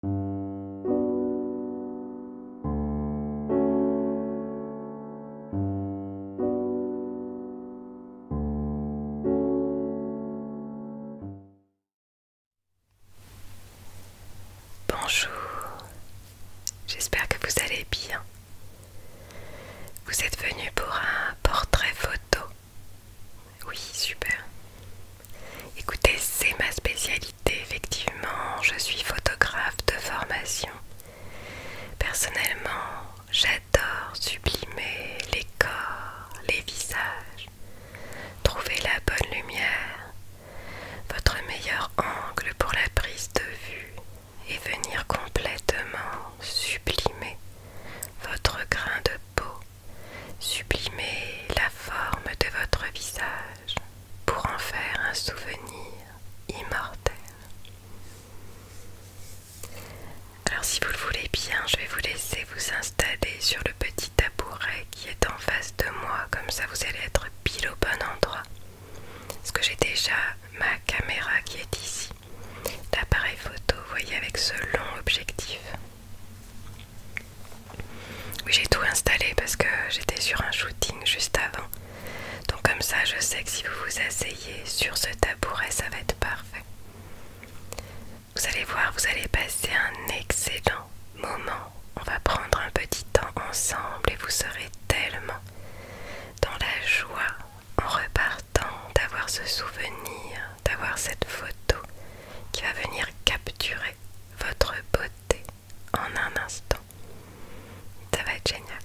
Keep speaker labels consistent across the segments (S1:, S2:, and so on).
S1: Bonjour, j'espère que vous allez bien. Vous êtes venu pour un portrait photo. Oui, super. Écoutez, c'est ma spécialité, effectivement, je suis photographe de formation. Personnellement, j'adore sublimer les corps, les visages, trouver la bonne lumière, votre meilleur angle pour la prise de vue et venir complètement sublimer votre grain de peau Sublimer la forme de votre visage pour en faire un souvenir immortel. Alors si vous le voulez bien, je vais vous laisser vous installer sur le petit tabouret qui est en face de moi, comme ça vous allez être pile au bon endroit. Parce que j'ai déjà ma caméra qui est ici, l'appareil photo, vous voyez, avec ce long objectif. Oui, j'ai tout installé parce que j'étais sur un shooting juste avant. Donc comme ça, je sais que si vous vous asseyez sur ce tabouret, ça va être parfait. Vous allez voir, vous allez passer un excellent moment. On va prendre un petit temps ensemble et vous serez tellement dans la joie en repartant d'avoir ce souvenir, d'avoir cette photo qui va venir capturer votre beauté en un instant. Ça va être génial.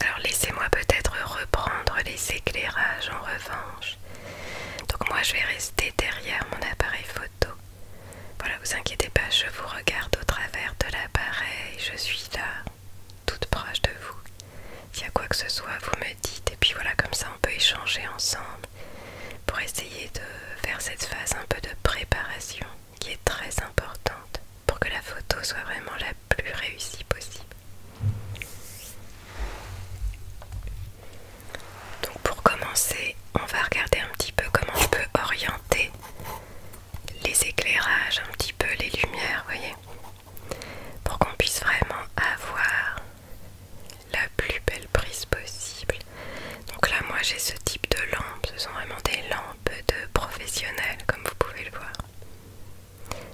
S1: Alors laissez-moi peut-être reprendre les éclairages en revanche. Donc moi je vais rester derrière mon appareil photo. Voilà, vous inquiétez pas, je vous regarde au travers de l'appareil, je suis là, toute proche de vous. S'il y a quoi que ce soit, vous me dites et puis voilà, comme ça on peut échanger ensemble pour essayer de faire cette phase un peu de préparation qui est très importante pour que la photo soit vraiment la plus réussie possible. Donc pour commencer, on va regarder un petit peu comment on peut orienter les éclairages, un petit peu les lumières, vous voyez, pour qu'on puisse vraiment avoir la plus belle prise possible. Donc là moi j'ai ce type de lampe, ce sont vraiment des lampes de professionnels comme vous pouvez le voir.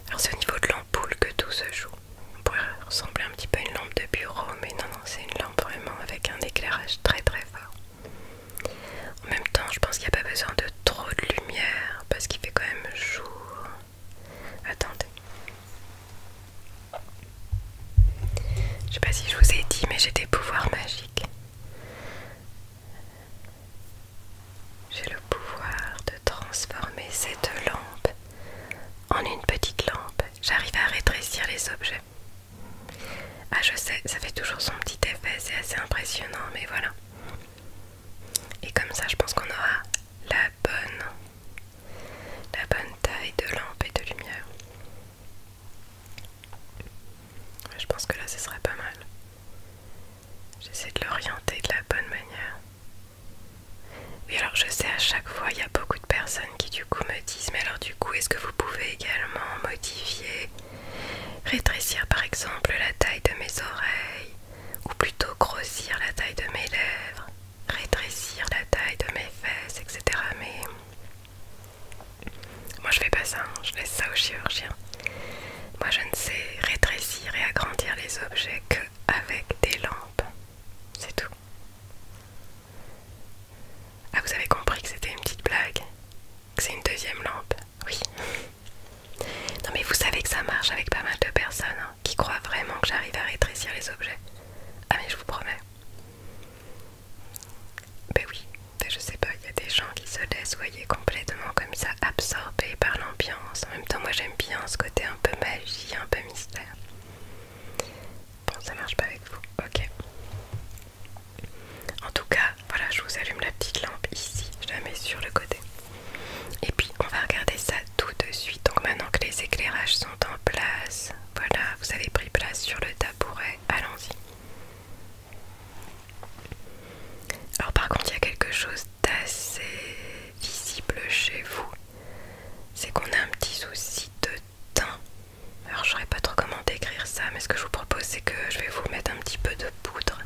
S1: Alors c'est au niveau de l'ampoule que tout se joue. On pourrait ressembler un petit peu à une lampe de bureau, mais non, non, c'est une lampe vraiment avec un éclairage très très fort. En même temps, je pense qu'il n'y a pas besoin de trop de lumière parce qu'il fait quand même jour. Attendez. Je sais pas si je vous ai dit, mais j'ai des pouvoirs magiques. J'ai le pouvoir de transformer cette lampe en une petite lampe. J'arrive à rétrécir les objets. Ah, je sais, ça fait toujours son petit effet, c'est assez impressionnant, mais voilà. Et comme ça, je pense qu'on aura la bonne la bonne taille de lampe et de lumière. Je pense que là ce serait pas mal. J'essaie de l'orienter de la bonne manière. Oui alors je sais à chaque fois il y a beaucoup de personnes qui du coup me disent mais alors du coup est-ce que vous pouvez également modifier, rétrécir par exemple la taille de mes oreilles ou plutôt grossir la taille de mes lèvres rétrécir la taille de mes fesses, etc. Mais moi je fais pas ça, hein. je laisse ça aux chirurgiens. Moi je ne sais rétrécir et agrandir les objets que avec des lampes. C'est tout. Ah vous avez compris que c'était une petite blague Que c'est une deuxième lampe Oui. Non mais vous savez que ça marche avec pas mal de personnes hein, qui croient vraiment que j'arrive à rétrécir les objets. Ah mais je vous promets. Ben oui, je sais pas, il y a des gens qui se laissent, voyez, complètement comme ça, absorbés par l'ambiance. En même temps, moi j'aime bien ce côté un peu magie, un peu mystère. Bon, ça marche pas avec vous, ok. En tout cas, voilà, je vous allume la petite lampe ici, je la mets sur le côté. Et puis on va regarder ça tout de suite. Donc maintenant que les éclairages sont en place, voilà, vous avez pris place sur le tabouret, allons-y. Alors par contre, il y a quelque chose d'assez visible chez vous. C'est qu'on a un petit souci de teint. Alors je saurais pas trop comment décrire ça, mais ce que je vous propose, c'est que je vais vous mettre un petit peu de poudre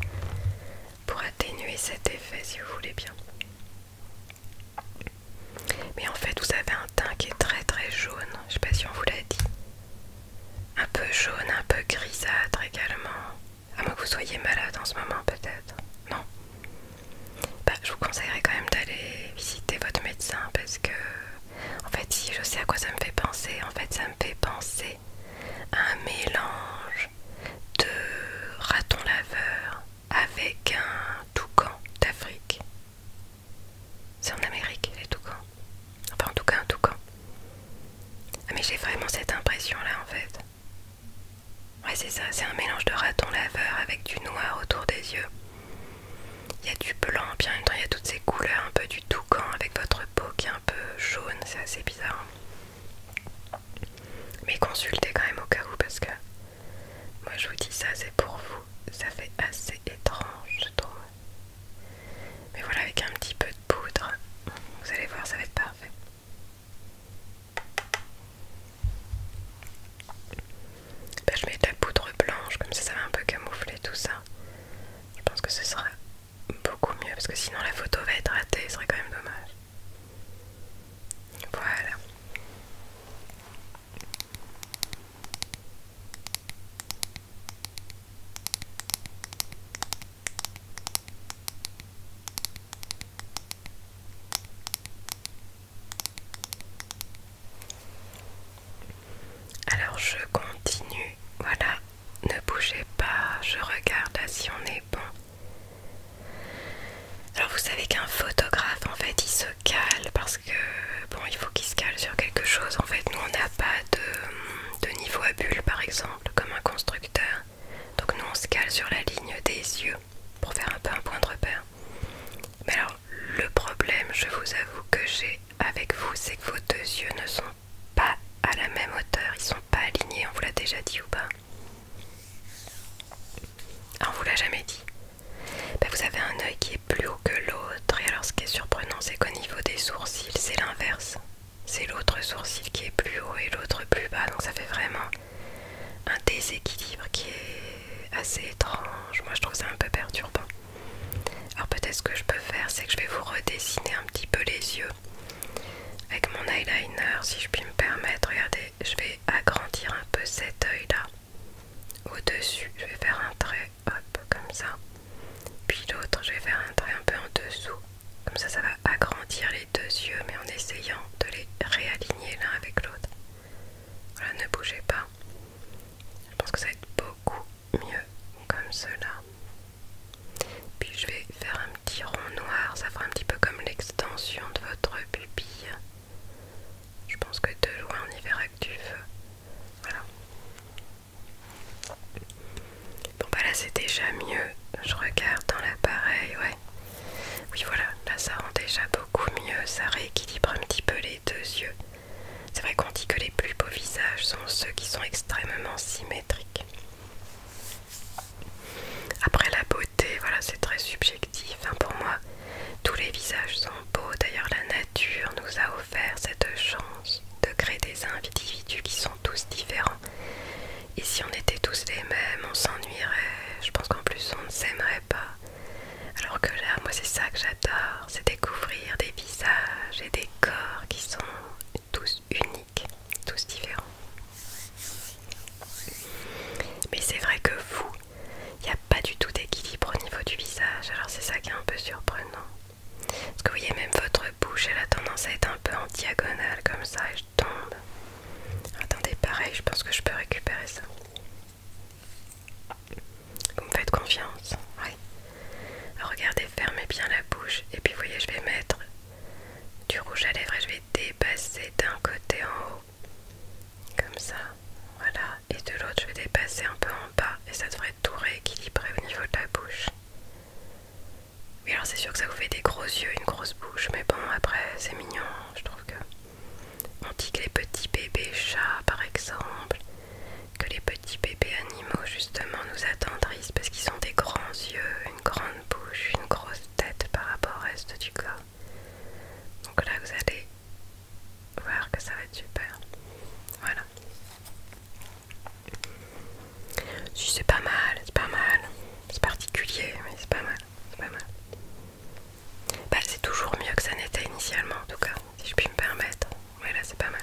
S1: pour atténuer cet effet si vous voulez bien. Mais en fait, vous avez un teint qui est très très jaune. Je sais pas si on vous l'a dit. Un peu jaune, un peu grisâtre également. À moins que vous soyez malade en ce moment, peut-être. Non bah, Je vous conseillerais quand même d'aller visiter votre médecin parce que, en fait, si je sais à quoi ça me fait penser, en fait, ça me fait penser à un mélange de raton laveur avec un toucan d'Afrique. C'est en Amérique, les toucans. Enfin, en tout cas, un toucan. Ah, mais j'ai vraiment cette impression-là, en fait. Ouais, c'est ça, c'est un mélange de raton laveur avec du noir autour des yeux. Il y a du blanc, bien en même temps, il y a toutes ces couleurs, un peu du toucan avec votre peau qui est un peu jaune, c'est assez bizarre. Mais consultez quand même au cas où, parce que moi je vous dis ça, c'est pour vous. Ça fait assez étrange, je trouve. Mais voilà, avec un petit peu de poudre, vous allez voir, ça va être parfait. Bah, je mets de la poudre blanche, comme ça, ça va un peu camoufler tout ça. Je pense que ce sera beaucoup mieux, parce que sinon la photo va être ratée, ce serait quand même dommage. Voilà. Alors je continue, voilà, ne bougez pas, je regarde si on est bon. Alors vous savez qu'un photographe en fait il se cale parce que bon il faut qu'il se cale sur quelque chose en fait nous on n'a pas de, de niveau à bulle par exemple comme un constructeur donc nous on se cale sur la ligne des yeux pour faire un peu un point de repère mais alors le problème je vous avoue que j'ai avec vous c'est que vos deux yeux ne sont pas à la même hauteur ils sont pas alignés on vous l'a déjà dit ou pas ah, on vous l'a jamais dit bah, vous avez un œil qui est plus haut que l'autre. Et alors ce qui est surprenant, c'est qu'au niveau des sourcils, c'est l'inverse. C'est l'autre sourcil qui est plus haut et l'autre plus bas. Donc ça fait vraiment un déséquilibre qui est assez étrange. Moi je trouve ça un peu perturbant. Alors peut-être ce que je peux faire, c'est que je vais vous redessiner un petit peu les yeux avec mon eyeliner, si je puis me permettre. Regardez, je vais agrandir un peu cet œil là au-dessus, je vais faire un trait, hop, comme ça. Puis l'autre, je vais faire un trait un peu en dessous. Comme ça, ça va agrandir les deux yeux, mais en essayant de les réaligner l'un avec l'autre. Voilà, ne bougez pas. Je pense que ça va être beaucoup mieux comme cela. Puis je vais faire un petit rond noir, ça fera un petit peu comme l'extension de votre pupille. Je pense que y jouer en hiver actif, voilà. Bon bah là c'est déjà mieux, je regarde dans l'appareil, ouais. Oui voilà, là ça rend déjà beaucoup mieux, ça rééquilibre un petit peu les deux yeux. C'est vrai qu'on dit que les plus beaux visages sont ceux qui sont extrêmement symétriques. Après la beauté, voilà c'est très subjectif. Hein, pour moi, tous les visages sont beaux, d'ailleurs la nature nous a offert cette chance de créer des individus qui sont tous différents. Et si on était tous les mêmes, on s'ennuierait, je pense qu'en plus on ne s'aimerait pas. Alors que là, moi c'est ça que j'adore, c'est découvrir des visages et des corps qui sont tous uniques, tous différents. Mais c'est vrai que vous, il n'y a pas du tout d'équilibre au niveau du visage, alors c'est ça qui est un peu surprenant. Parce que vous voyez, même votre bouche, elle a tendance à être un peu en diagonale comme ça et je tombe. Attendez, pareil, je pense que je peux récupérer ça. Vous me faites confiance Oui. regardez, fermez bien la bouche et puis vous voyez, je vais mettre du rouge à lèvres et je vais dépasser d'un côté en haut. Comme ça, voilà, et de l'autre je vais dépasser un peu en bas et ça devrait tout rééquilibrer au niveau de la bouche. Oui alors c'est sûr que ça vous fait des gros yeux, une grosse bouche, mais bon après c'est mignon, je trouve que... On dit que les petits bébés chats par exemple, que les petits bébés animaux justement nous attendrissent parce qu'ils ont des grands yeux, une grande bouche, une grosse tête par rapport au reste du corps. Donc là vous allez voir que ça va être super. Voilà. Si c'est pas mal, c'est pas mal. C'est particulier, mais c'est pas mal. C'est pas mal. Bah, c'est toujours mieux que ça n'était initialement, en tout cas, si je puis me permettre. Voilà c'est pas mal.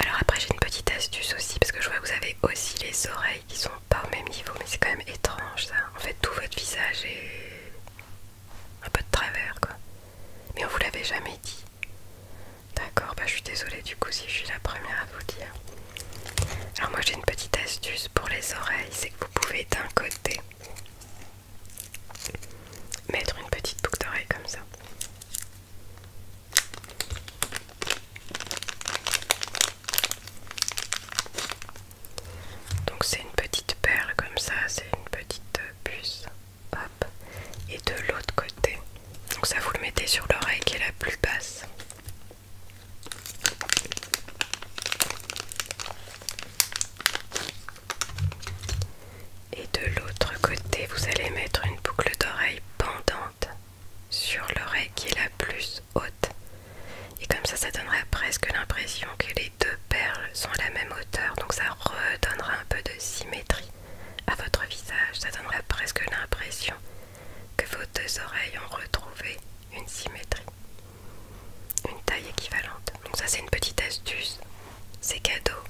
S1: Alors, après, j'ai une petite astuce aussi, parce que je vois que vous avez aussi les oreilles qui sont pas au même niveau, mais c'est quand même étrange ça. En fait, tout votre visage est un peu de travers quoi. Mais on vous l'avait jamais dit. D'accord, bah je suis désolée du coup si je suis la première à vous dire. Alors moi j'ai une petite astuce pour les oreilles, c'est que vous pouvez d'un côté mettre une petite boucle d'oreille comme ça. Donc c'est une petite perle comme ça, c'est une petite puce. Hop. Et de l'autre côté. Donc ça vous le mettez sur l'oreille qui est la plus basse. Et de l'autre côté, vous allez mettre une boucle d'oreille pendante sur l'oreille qui est la plus haute. Et comme ça, ça donnerait presque l'impression que les deux perles sont à la même hauteur, donc ça redonnera un peu de symétrie à votre visage. Ça donnerait presque l'impression que vos deux oreilles ont retrouvé une symétrie, une taille équivalente. Donc ça, c'est une petite astuce. C'est cadeau.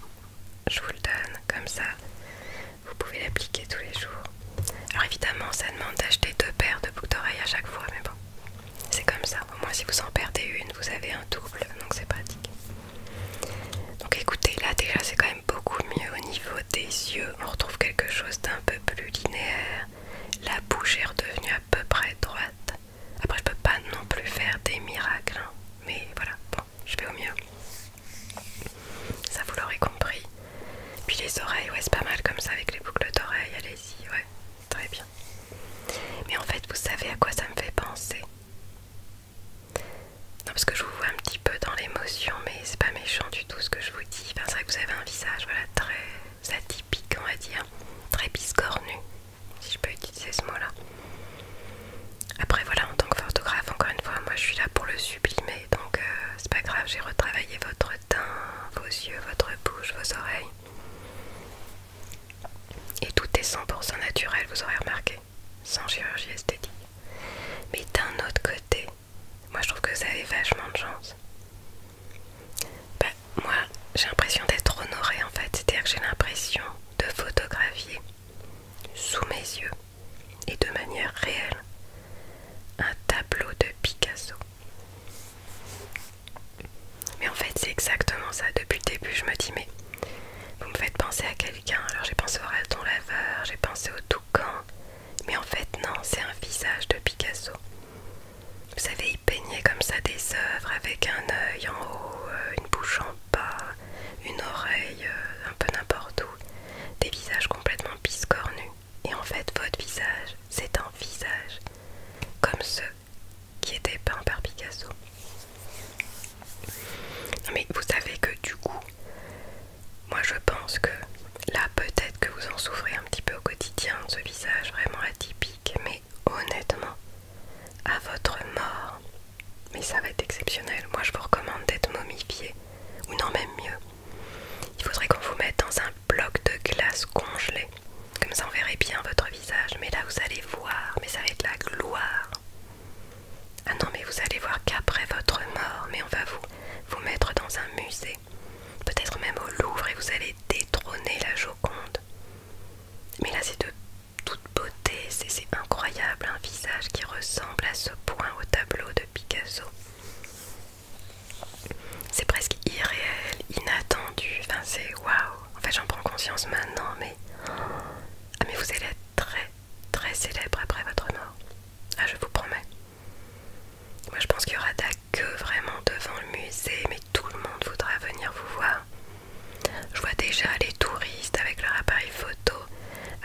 S1: Je vous le donne comme ça. Vous pouvez l'appliquer tous les jours. Alors évidemment, ça demande d'acheter deux paires de boucles d'oreilles à chaque fois, mais bon. C'est comme ça, au moins si vous en perdez une, vous avez un double, donc c'est pratique. Donc écoutez, là déjà c'est quand même beaucoup mieux au niveau des yeux, on retrouve quelque chose d'un peu plus linéaire. La bouche est redevenue à peu près droite. Après je peux pas non plus faire des miracles, hein. mais voilà, bon, je vais au mieux. Ça vous l'aurez compris. Puis les oreilles, ouais, c'est pas mal comme ça avec les boucles d'oreilles, allez-y, ouais, très bien. Mais en fait, vous savez à quoi ça me fait penser Non, parce que je vous vois un petit peu dans l'émotion, mais c'est pas méchant du tout ce que je vous dis. Enfin, c'est vrai que vous avez un visage, voilà, très atypique, on va dire, très biscornu, si je peux utiliser ce mot-là. Après, voilà, en tant que photographe, encore une fois, moi je suis là pour le sublimer, donc euh, c'est pas grave, j'ai retravaillé votre vos yeux, votre bouche, vos oreilles. Et tout est 100% naturel, vous aurez remarqué, sans chirurgie esthétique. Mais d'un autre côté, moi je trouve que vous avez vachement de chance. ben moi j'ai l'impression d'être honoré en fait, c'est-à-dire que j'ai l'impression de photographier sous mes yeux et de manière réelle un tableau de Picasso. Mais en fait, c'est exactement ça. Depuis le début, je me dis, mais vous me faites penser à quelqu'un. Alors j'ai pensé au raton laveur, j'ai pensé au toucan. Mais en fait, non, c'est un visage de Picasso. Vous savez, il peignait comme ça des œuvres avec un œil en haut, euh, une bouche en bas, une oreille, euh, un peu n'importe où. Des visages complètement biscornus. Et en fait, votre visage, c'est un visage comme ceux qui étaient peints par Picasso. mais vous savez que du coup, moi je pense que là peut-être que vous en souffrez un petit peu au quotidien de ce visage vraiment atypique, mais honnêtement, à votre mort, mais ça va être exceptionnel. Moi je vous recommande d'être momifié, ou non même mieux, il faudrait qu'on vous mette dans un bloc de glace congelé. Comme ça on verrait bien votre visage. Mais là vous allez voir, mais ça va être la gloire. Ah non mais vous allez voir qu'après votre mort, mais on va vous, vous mettre dans un musée. Peut-être même au Louvre et vous allez détrôner la Joconde. Mais là c'est de toute beauté, c'est incroyable un visage qui ressemble à ce point au tableau de Picasso c'est presque irréel, inattendu, enfin c'est waouh. En fait j'en prends conscience maintenant, mais ah mais vous allez être très très célèbre après votre mort. Ah je vous promets. Moi je pense qu'il y aura de vraiment devant le musée, mais tout le monde voudra venir vous voir. Je vois déjà les touristes avec leur appareil photo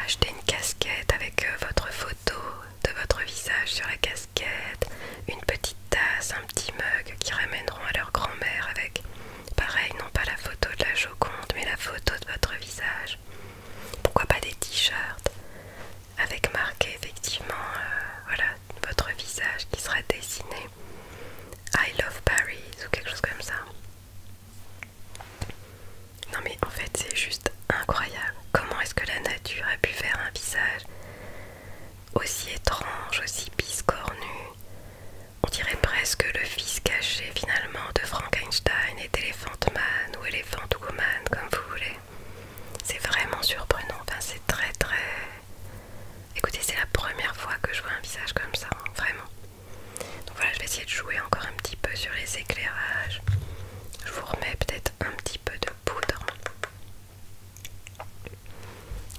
S1: acheter une casquette avec euh, votre photo de votre visage sur la casquette, une petite tasse, un petit mug qui ramèneront à leur grand-mère avec, pareil, non pas la photo de la Joconde, mais la photo de votre visage. Pourquoi pas des t-shirts avec marqué effectivement euh, voilà, votre visage qui sera dessiné. I love Paris ou quelque chose comme ça. Non mais en fait c'est juste incroyable. Comment est-ce que la nature a pu faire un visage aussi étrange, aussi biscornu. On dirait presque le fils caché finalement de Frankenstein et d'Elephant Man ou Elephant Woman, comme vous voulez. C'est vraiment surprenant, c'est très très... Écoutez, c'est la première fois que je vois un visage comme ça, hein, vraiment. Donc voilà, je vais essayer de jouer encore un petit peu sur les éclairages. Je vous remets peut-être un petit peu de poudre.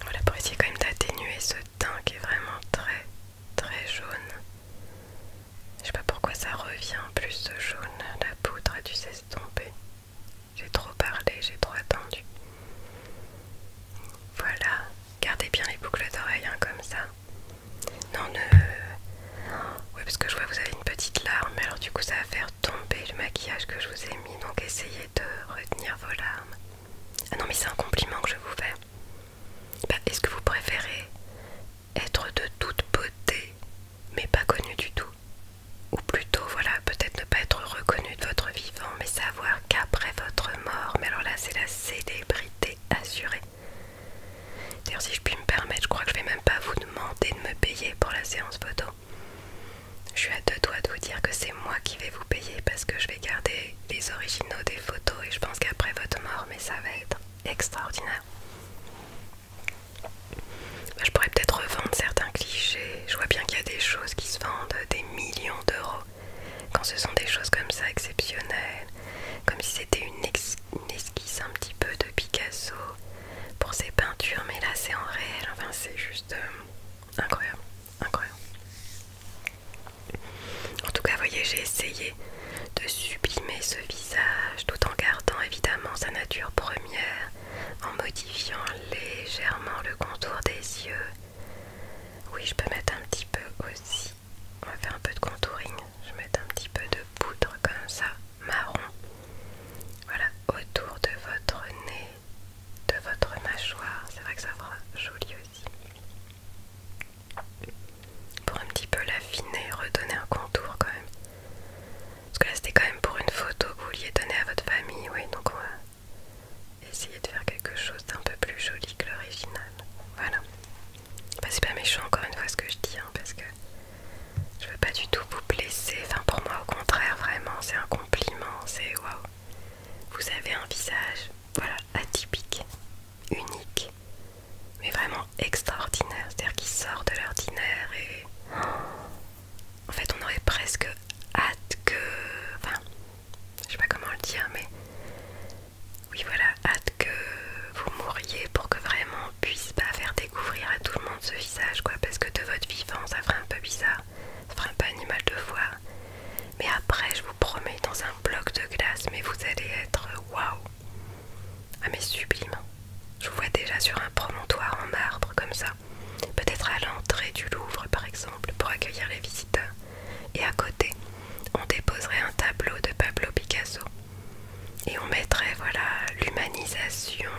S1: Voilà pour essayer quand même d'atténuer ce teint qui est vraiment très très jaune. Je sais pas pourquoi ça revient plus ce jaune, la poudre a dû tomber. J'ai trop parlé, j'ai trop attendu. Voilà, gardez bien les boucles d'oreilles hein, comme ça. Non, ne... Oui, parce que je vois que vous avez une petite larme, alors du coup ça va faire tomber le maquillage que je vous ai donc essayez de retenir vos larmes. Ah non, mais c'est un compliment que je vous fais. Bah, est-ce que vous préférez être de toute beauté, mais pas connu du tout Ou plutôt, voilà, peut-être ne pas être reconnu de votre vivant, mais savoir qu'après votre mort, mais alors là, c'est la célébrité assurée. D'ailleurs, si je puis me permettre, je crois que je vais même pas vous demander de me payer pour la séance photo. Je suis à deux doigts de vous dire que c'est moi qui vais vous payer parce que je vais garder les originaux des photos et je pense qu'après votre mort, mais ça va être extraordinaire. Bah, je pourrais peut-être revendre certains clichés. Je vois bien qu'il y a des choses qui se vendent des millions d'euros. Quand ce sont des choses comme ça exceptionnelles, comme si c'était une esquisse un petit peu de Picasso, pour ces peintures, mais là c'est en réel, enfin c'est juste euh, incroyable, incroyable. En tout cas, voyez, j'ai essayé de sublimer ce visage tout en gardant évidemment sa nature première, en modifiant légèrement le contour des yeux. Oui, je peux mettre un petit peu aussi. On va faire un peu de contouring. Je vais mettre un petit peu de poudre comme ça, marron. Voilà, autour de votre nez de votre mâchoire. C'est vrai que ça fera joli aussi. Pour un petit peu l'affiner, redonner un contour quand même. Parce que là c'était quand même pour une photo que vous vouliez donner à votre famille, oui, donc on va essayer de faire quelque chose d'un peu plus joli que l'original. Voilà. Bah, c'est pas méchant encore une fois ce que je dis, hein, parce que je veux pas du tout vous blesser. Enfin, pour moi, au contraire, vraiment, c'est un compliment. C'est waouh. Vous avez un visage, voilà, atypique, unique, mais vraiment extraordinaire. C'est-à-dire qu'il sort de l'ordinaire et. En fait, on aurait presque hâte que. Enfin, je sais pas comment le dire, mais. Oui, voilà, hâte que vous mouriez pour que vraiment on puisse pas faire découvrir à tout le monde de ce visage quoi parce que de votre vivant ça ferait un peu bizarre, ça ferait un peu animal de voir. Mais après je vous promets dans un bloc de glace mais vous allez être waouh Ah mais sublime Je vous vois déjà sur un promontoire en marbre comme ça, peut-être à l'entrée du Louvre par exemple pour accueillir les visiteurs. Et à côté, on déposerait un tableau de Pablo Picasso. Et on mettrait voilà l'humanisation,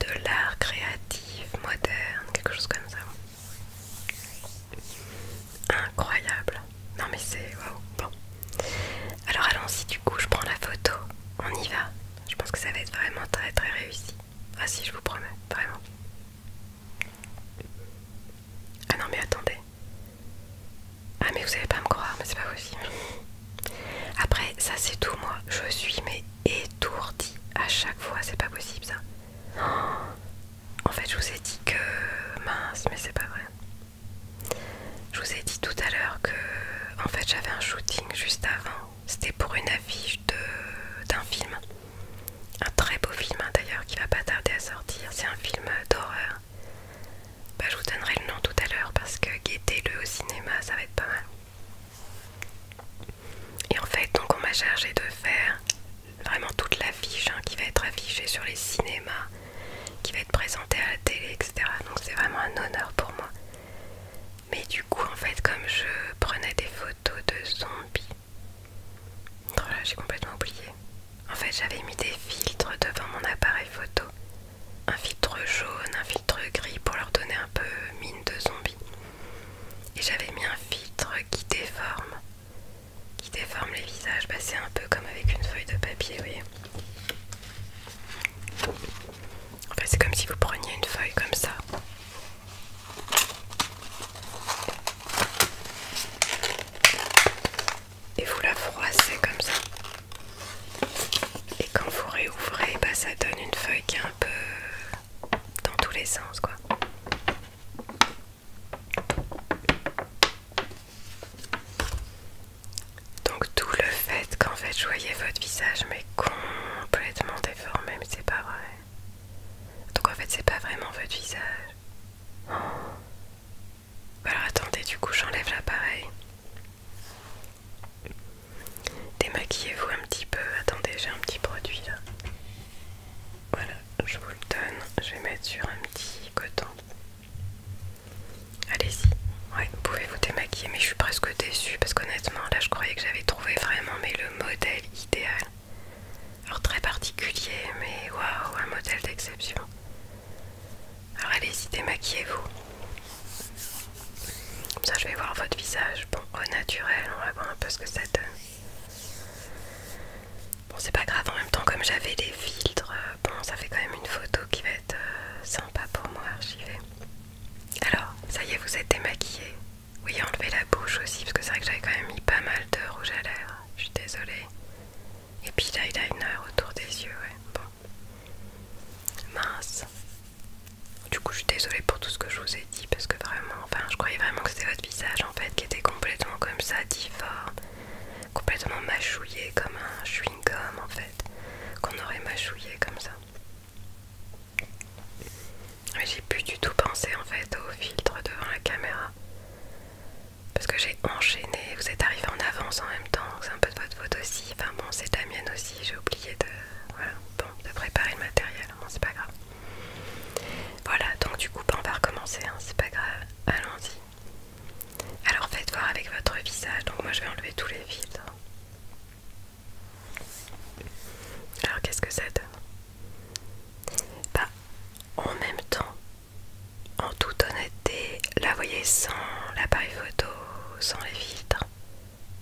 S1: de l'art créatif, moderne, quelque chose comme ça. Incroyable. Non mais c'est waouh. Bon. Alors allons-y du coup, je prends la photo. On y va. Je pense que ça va être vraiment très très réussi. Ah si, je vous promets, vraiment. Ah non mais attendez. Ah mais vous savez pas me croire, mais c'est pas possible. Après, ça c'est tout moi. Je suis mais étourdie à chaque fois. C'est pas possible ça. en fait, je vous ai dit que... Mince, mais c'est pas vrai. Je vous ai dit tout à l'heure que... En fait, j'avais un shooting juste avant. C'était pour une affiche d'un film. Un très beau film hein, d'ailleurs qui va pas tarder à sortir. C'est un film d'horreur. Bah, je vous donnerai le nom tout à l'heure parce que guettez-le au cinéma, ça va être pas mal. Et en fait, donc on m'a chargé de faire vraiment toute l'affiche hein, qui va être affichée sur les cinémas, qui va être présentée à la télé, etc. Donc c'est vraiment un honneur pour moi. Mais du coup, en fait, comme je prenais des photos de zombies, oh là, j'ai complètement oublié. En fait, j'avais mis des filtres devant mon appareil photo, un filtre jaune, un filtre gris pour leur donner un peu mine de zombie. Et j'avais mis un filtre qui déforme, qui déforme les visages. Bah, C'est un peu comme avec une feuille de papier, vous voyez. c'est comme si vous preniez une feuille comme ça. Et vous la froissez comme ça. Et quand vous réouvrez, bah, ça donne une feuille qui est un peu dans tous les sens quoi. Donc tout le fait qu'en fait je voyais votre visage mais complètement déformé, mais c'est pas vrai. Donc en fait c'est pas vraiment votre visage. Oh. Bah, alors attendez, du coup j'enlève l'appareil. Démaquillez-vous un petit peu. Attendez, j'ai un petit produit là. Voilà, je vous le donne. Je vais mettre sur un petit coton. Allez-y. Ouais, vous pouvez vous démaquiller, mais je suis presque déçue parce qu'honnêtement, là, je croyais que j'avais trouvé vraiment le modèle idéal. Alors très particulier, mais waouh, un modèle d'exception. Alors allez-y, démaquillez-vous. Comme ça, je vais voir votre visage. Bon, au naturel, on va voir un peu ce que ça donne. Bon, c'est pas grave, en même temps, comme j'avais des filtres, euh, bon, ça fait quand même une photo qui va être euh, sympa pour moi, archivée. Alors, ça y est, vous êtes démaquillée. Oui, enlevez la bouche aussi, parce que c'est vrai que j'avais quand même mis pas mal de rouge à l'air Je suis désolée. Et puis l'eyeliner autour des yeux, ouais. Bon. Mince. Du coup, je suis désolée pour tout ce que je vous ai dit parce que vraiment, enfin, je croyais vraiment que c'était votre visage en fait qui était complètement comme ça, difforme, complètement mâchouillé comme un chewing-gum en fait, qu'on aurait mâchouillé comme ça. Mais j'ai plus du tout pensé en fait au filtre devant la caméra parce que j'ai enchaîné. Vous êtes arrivé en avance en même temps, c'est un peu de votre faute aussi. Enfin bon, c'est la mienne aussi, j'ai oublié de. Voilà, de préparer le matériel, c'est pas grave. Voilà, donc du coup ben, on va recommencer, hein, c'est pas grave, allons-y. Alors faites voir avec votre visage, donc moi je vais enlever tous les filtres Alors qu'est-ce que ça donne Bah en même temps, en toute honnêteté, là vous voyez sans l'appareil photo, sans les filtres,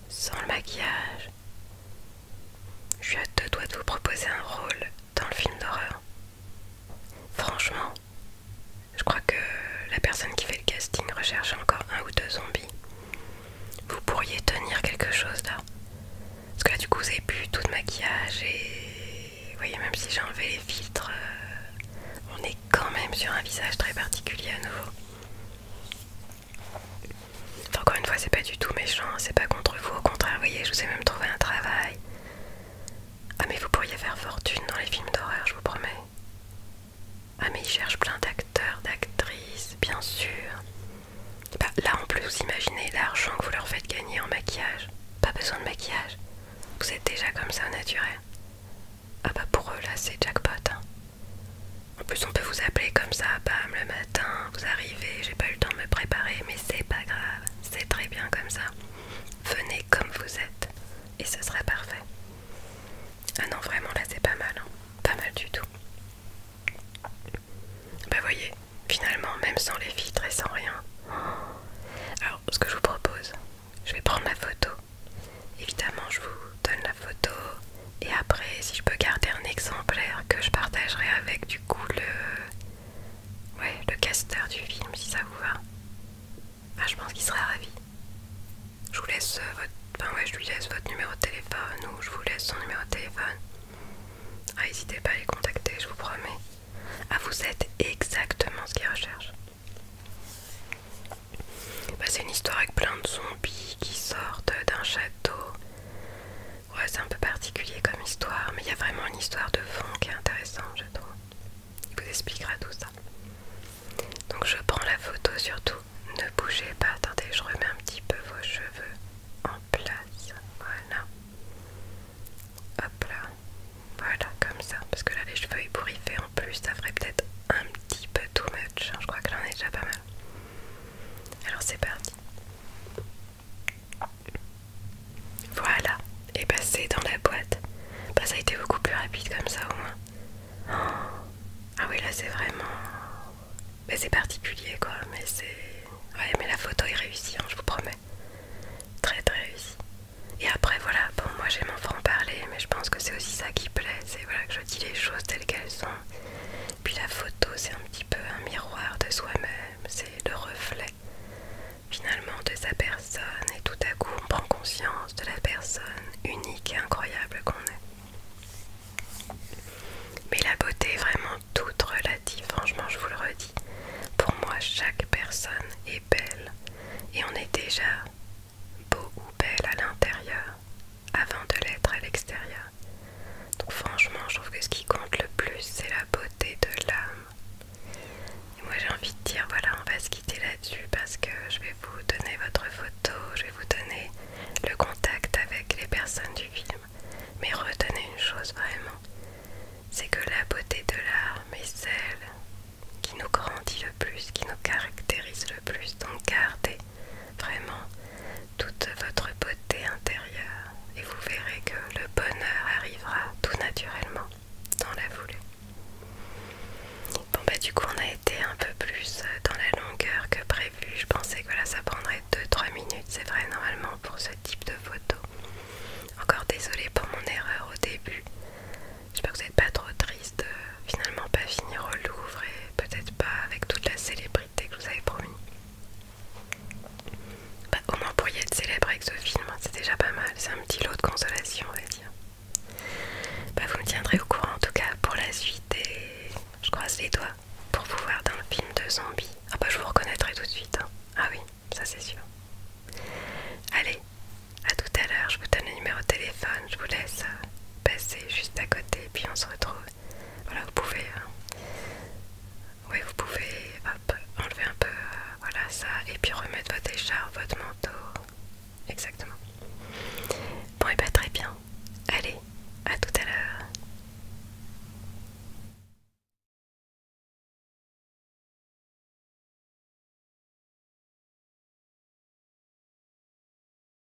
S1: sans le maquillage. Je suis à deux doigts de vous proposer un rôle dans le film d'horreur. Franchement, je crois que la personne qui fait le casting recherche encore un ou deux zombies. Vous pourriez tenir quelque chose là. Parce que là, du coup, vous avez plus tout de maquillage et. Vous voyez, même si j'ai enlevé les filtres, euh, on est quand même sur un visage très particulier à nouveau. Encore une fois, c'est pas du tout méchant, c'est pas contre vous, au contraire, voyez, je vous ai même trouvé un travail. Ah, mais vous pourriez faire fortune dans les films d'horreur, je vous promets. Ah, mais ils cherchent plein d'acteurs, d'actrices, bien sûr. Bah, là en plus, vous imaginez l'argent que vous leur faites gagner en maquillage. Pas besoin de maquillage, vous êtes déjà comme ça naturel. Ah, bah pour eux, là, c'est jackpot. Hein. En plus on peut vous appeler comme ça, bam, le matin, vous arrivez, j'ai pas eu le temps de me préparer, mais c'est pas grave, c'est très bien comme ça. Venez comme vous êtes et ce sera parfait. Ah non vraiment là c'est pas mal, hein. pas mal du tout. Bah voyez, finalement même sans les filtres et sans rien. Alors ce que je vous propose, je vais prendre la photo. Évidemment je vous donne la photo, et après, si je peux garder un exemplaire que je partagerai avec du coup le, ouais, le casteur du film, si ça vous va, ah, je pense qu'il sera ravi. Je vous laisse euh, votre, je lui laisse votre numéro de téléphone ou je vous laisse son numéro de téléphone. Ah, n'hésitez pas à les contacter, je vous promets. Ah, vous êtes exactement ce qu'il recherche. Bah, c'est une histoire avec plein de zombies qui sortent d'un château. Ouais, c'est un peu particulier comme histoire, mais il y a vraiment une histoire de fond qui est intéressante, je trouve. Il vous expliquera tout ça. Donc je prends la photo surtout. Ne bougez pas, attendez, je remets un petit peu vos cheveux en place. Voilà. Hop là. Voilà, comme ça. Parce que là, les cheveux ébouriffés en plus, ça ferait peut-être un petit peu too much. Hein. Je crois que on est déjà pas mal. Alors c'est parti. Voilà, et passé bah, dans la boîte. Bah ça a été beaucoup plus rapide comme ça au moins. Oh. Ah oui, là c'est vraiment... Mais c'est particulier quoi, mais c'est... Ouais, mais la photo est réussie, hein, je vous promets. Très très réussie. Et après voilà, bon moi j'aime en franc parler, mais je pense que c'est aussi ça qui plaît, c'est voilà, que je dis les choses telles qu'elles sont. Puis la photo, c'est un petit peu un miroir de soi-même, c'est le reflet finalement de sa personne et tout à coup on prend conscience de la personne unique et incroyable qu'on est. Mais la beauté est vraiment toute relative, franchement je vous le redis. Pour moi chaque personne est belle et on est déjà beau ou belle à l'intérieur avant de l'être à l'extérieur. Donc franchement, je trouve que ce qui compte le plus, c'est la beauté de l'âme. Et moi j'ai envie de dire, voilà, on va se quitter là-dessus parce que je vais vous donner votre photo, je vais vous donner le contact avec les personnes du film. Mais retenez une chose vraiment, c'est que la beauté de l'âme est celle qui nous grandit le plus, qui nous caractérise le plus. Donc gardez vraiment toute votre beauté intérieure et vous verrez que le bonheur arrivera tout naturellement sans la voulue Bon bah du coup on a été un peu plus euh, dans la longueur que prévu, je pensais que là ça prendrait 2-3 minutes, c'est vrai normalement pour ce type de photo. Encore désolée pour mon erreur au début, j'espère que vous n'êtes pas trop triste de finalement pas finir au Louvre peut-être pas avec toute la célébrité que je vous avais promis. Bah, au moins pour y être célèbre avec ce film, hein, c'est déjà pas mal, c'est un petit lot de consolation on va dire. Bah, vous me tiendrez au courant en tout cas pour la suite et je croise les doigts pour vous voir dans le film de zombies. Ah bah je vous reconnaîtrai tout de suite, hein. ah oui, ça c'est sûr. Allez, à tout à l'heure, je vous donne le numéro de téléphone, je vous laisse euh, passer juste à côté puis on se retrouve voilà, vous pouvez, euh, vous pouvez enlever un peu, euh, voilà ça, et puis remettre votre écharpe, votre manteau, exactement. Bon et bien très bien. Allez, à tout à l'heure.